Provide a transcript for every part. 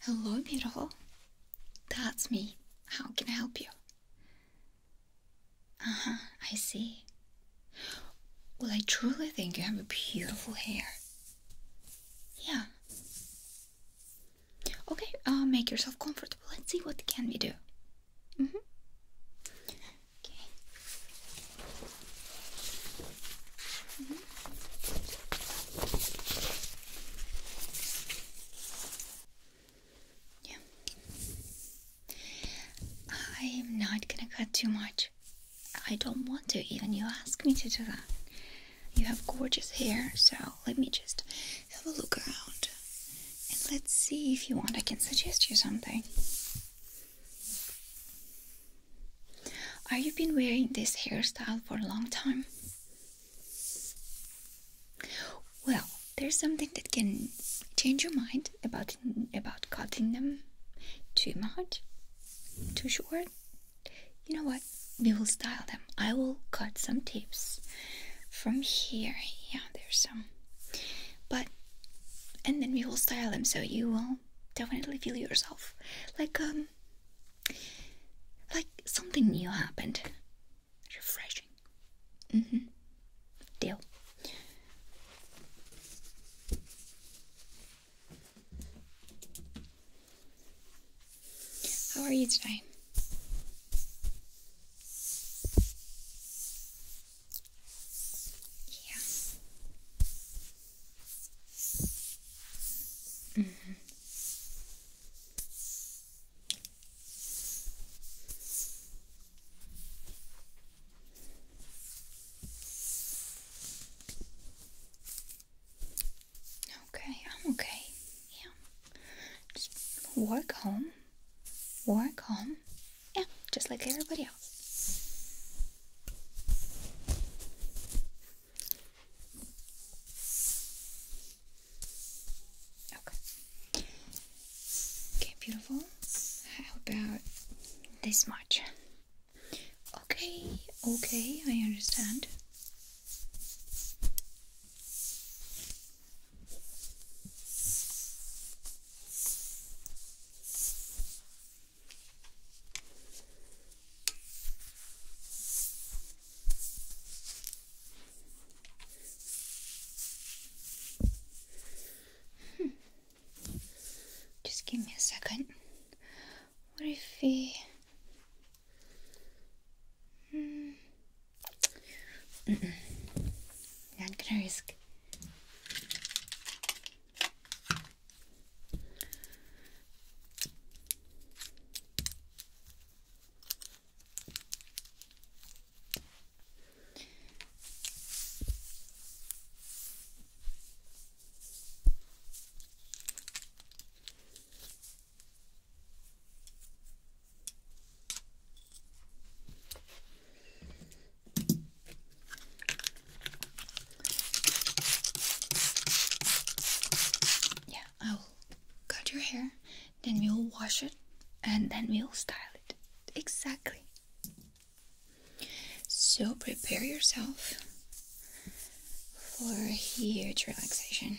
Hello, beautiful. That's me. How can I help you? Uh huh, I see. Well, I truly think you have a beautiful hair. Yeah. Okay, uh, make yourself comfortable. Let's see what can we do. Mm hmm. Okay. Mm-hmm. Yeah. I am not gonna cut too much. I don't want to, even you asked me to do that. You have gorgeous hair, so let me just have a look around and let's see if you want. I can suggest you something. Are you been wearing this hairstyle for a long time? Well, there's something that can change your mind about about cutting them too much, too short. You know what? We will style them. I will cut some tips from here. Yeah, there's some. But and then we will style them so you will definitely feel yourself like um like something new happened. Refreshing. Mm hmm. Deal. How are you today? Yeah. -hmm. Okay, I'm okay. Yeah. Just walk home. walk home. Yeah, just like everybody else. Okay. Okay, beautiful. How about this much? Okay, okay, I understand. Hmm. Just give me a second. What if we. Hmm. I'm gonna risk. Yeah, I cut your hair, then we'll wash it, and then we'll style it. Exactly. So prepare yourself for a huge relaxation.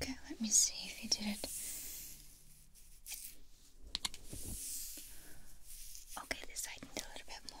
Okay, let me see if you did it. Okay, this side a little bit more.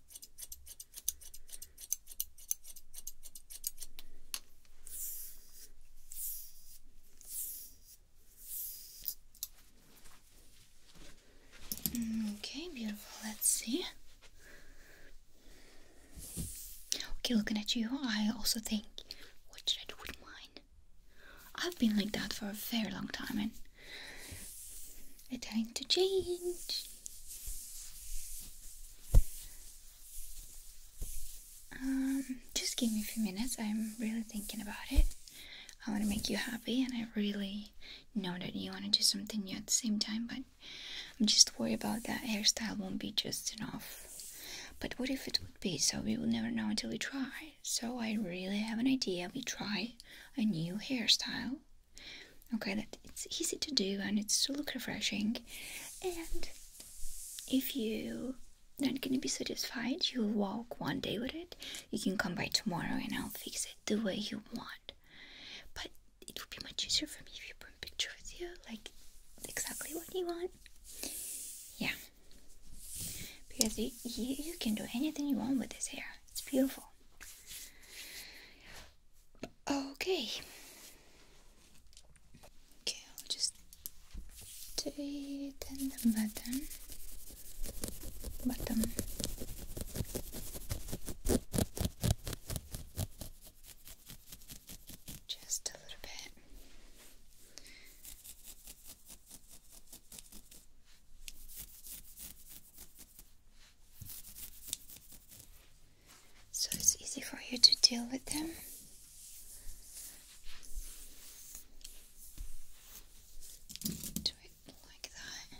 Okay, beautiful. Let's see. Okay, looking at you, I also think, what should I do with mine? I've been like that for a very long time and it's time to change. Um, just give me a few minutes. I'm really thinking about it. I want to make you happy, and I really know that you want to do something new at the same time, but I'm just worried about that hairstyle won't be just enough. But what if it would be? So we will never know until we try. So I really have an idea. We try a new hairstyle Okay, that it's easy to do and it's to look refreshing. And if you don't gonna be satisfied, you'll walk one day with it. You can come by tomorrow and I'll fix it the way you want. But it would be much easier for me if you put pictures picture with you, like exactly what you want. Yeah. Because you, you can do anything you want with this hair. It's beautiful. Okay. Okay, I'll just tighten the button. Button. Just a little bit. So it's easy for you to deal with them. Do it like that.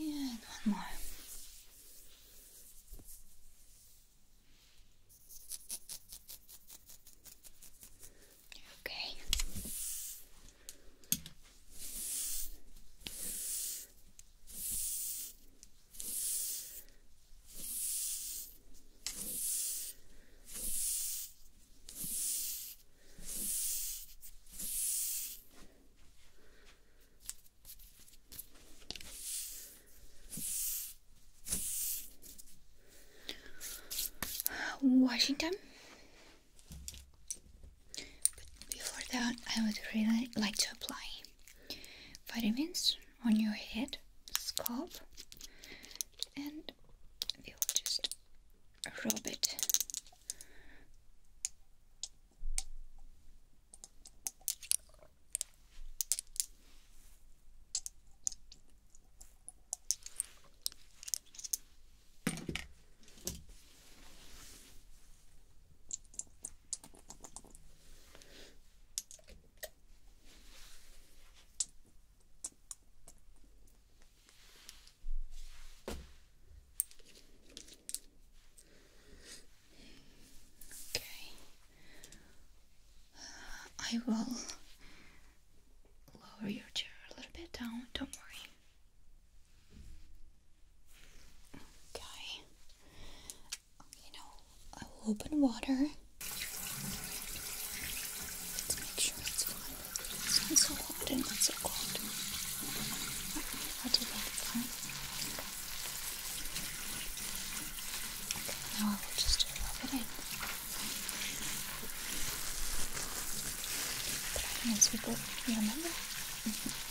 And one more. Okay. Washington. But before that, I would really like to apply vitamins on your head, scalp, and we will just rub it. Okay. Uh, I will lower your chair a little bit down, don't worry. Okay. You know, I will open water Let's make sure it's fine. It's not so hot and not so cold. I'll do that fine. Okay, now I will just rub it in. Try as we go, you remember? Mm-hmm.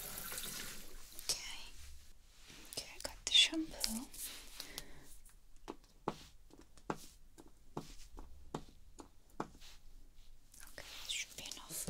Okay. Okay, I got the shampoo. Okay, this should be enough.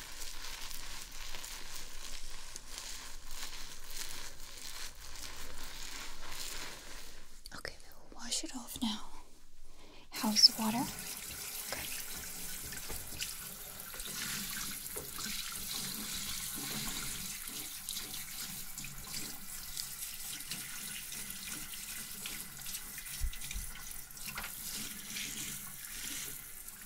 Okay, we will wash it off now. How's the water?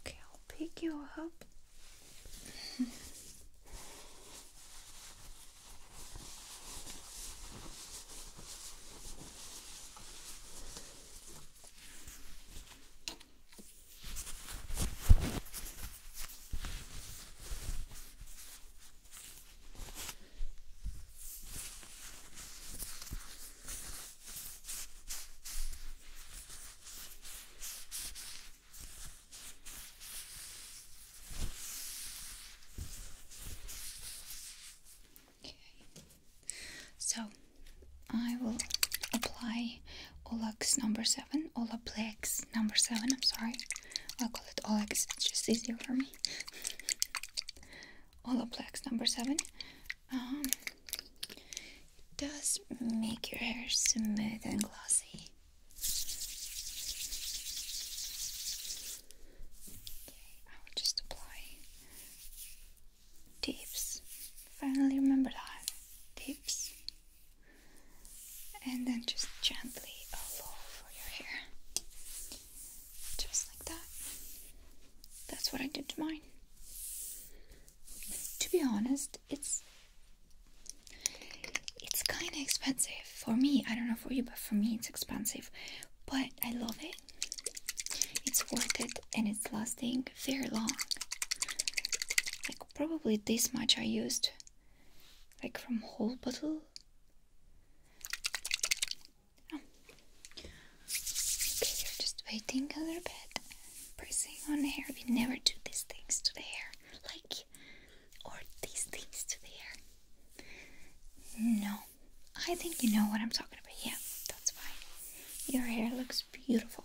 Okay, I'll pick you up. So I will apply Olux number seven, Olaplex number seven. I'm sorry, I'll call it Olux. It's just easier for me. Olaplex number seven. Um, does make your hair smooth and glossy. Okay, I will just apply tips. Finally, remember that tips, and then just gently all over your hair, just like that. That's what I did to mine to be honest, it's it's kind of expensive for me. I don't know for you, but for me it's expensive. But I love it. It's worth it and it's lasting very long. Like probably this much I used like from whole bottle. Oh. Okay, you're just waiting a little bit pressing on hair. We never do these things to the hair, like, or these things to the hair. No, I think you know what I'm talking about. Yeah, that's fine. Your hair looks beautiful.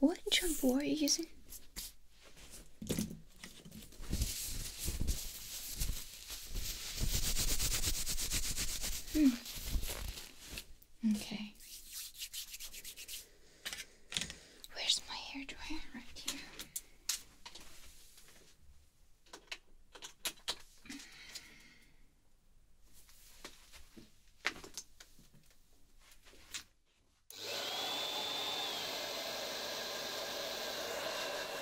What shampoo are you using? Hmm. Okay. Where's my hair dryer? Right here.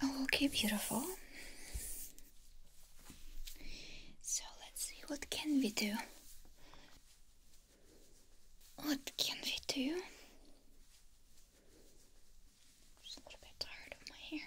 Oh, okay, beautiful. So let's see what can we do. What can we do? just a little bit tired of my hair.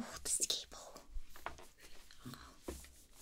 Oh, this cable.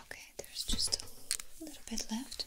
Okay, there's just a little bit left.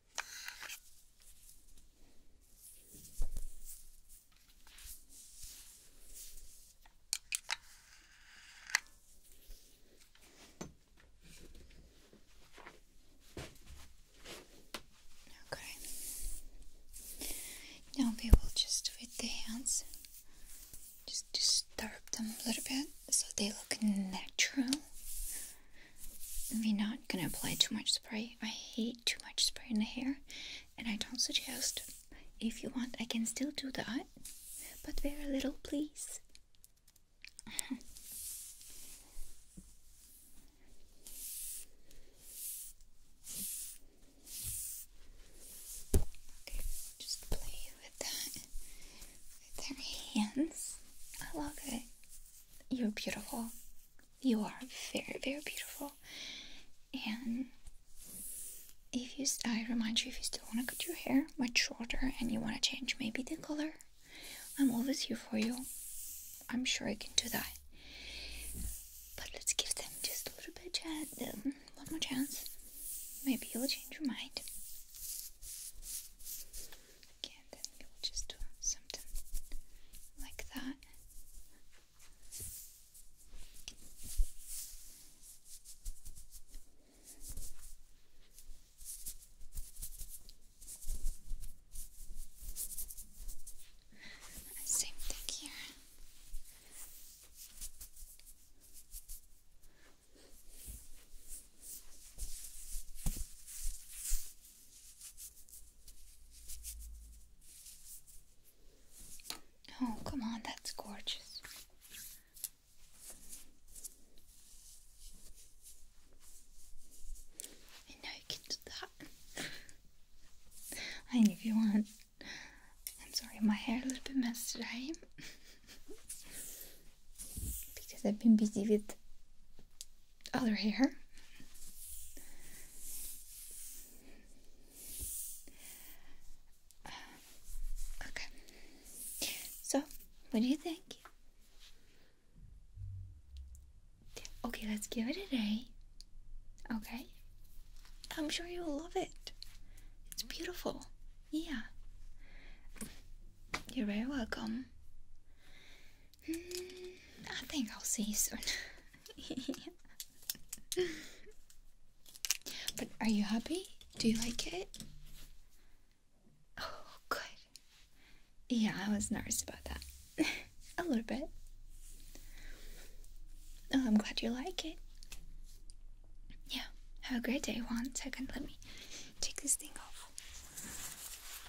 Okay. Now we will just with the hands just disturb them a little bit so they look natural. We're not gonna apply too much spray. I hate too much spray in the hair, and I don't suggest. If you want, I can still do that, but very little, please. Okay, just play with that with hands. I love it. You're beautiful. You are very, very beautiful. And if you, I remind you, if you still want to cut your hair much shorter and you want to change maybe the color, I'm always here for you. I'm sure I can do that. But let's give them just a little bit, um, one more chance. Maybe you'll change your mind. Okay, then we'll just do something like that. Same thing here. Oh, come on, that's gorgeous. I know you can do that. I mean, if you want. I'm sorry, my hair a little bit messed today. because I've been busy with other hair. okay. So, what do you think? Okay, let's give it a day. Okay? I'm sure you'll love it. It's beautiful. Yeah. You're very welcome. I think I'll see you soon. But are you happy? Do you like it? Oh, good. Yeah, I was nervous about that. a little bit. Oh, I'm glad you like it. Yeah, have a great day. Juan. One second, let me take this thing off.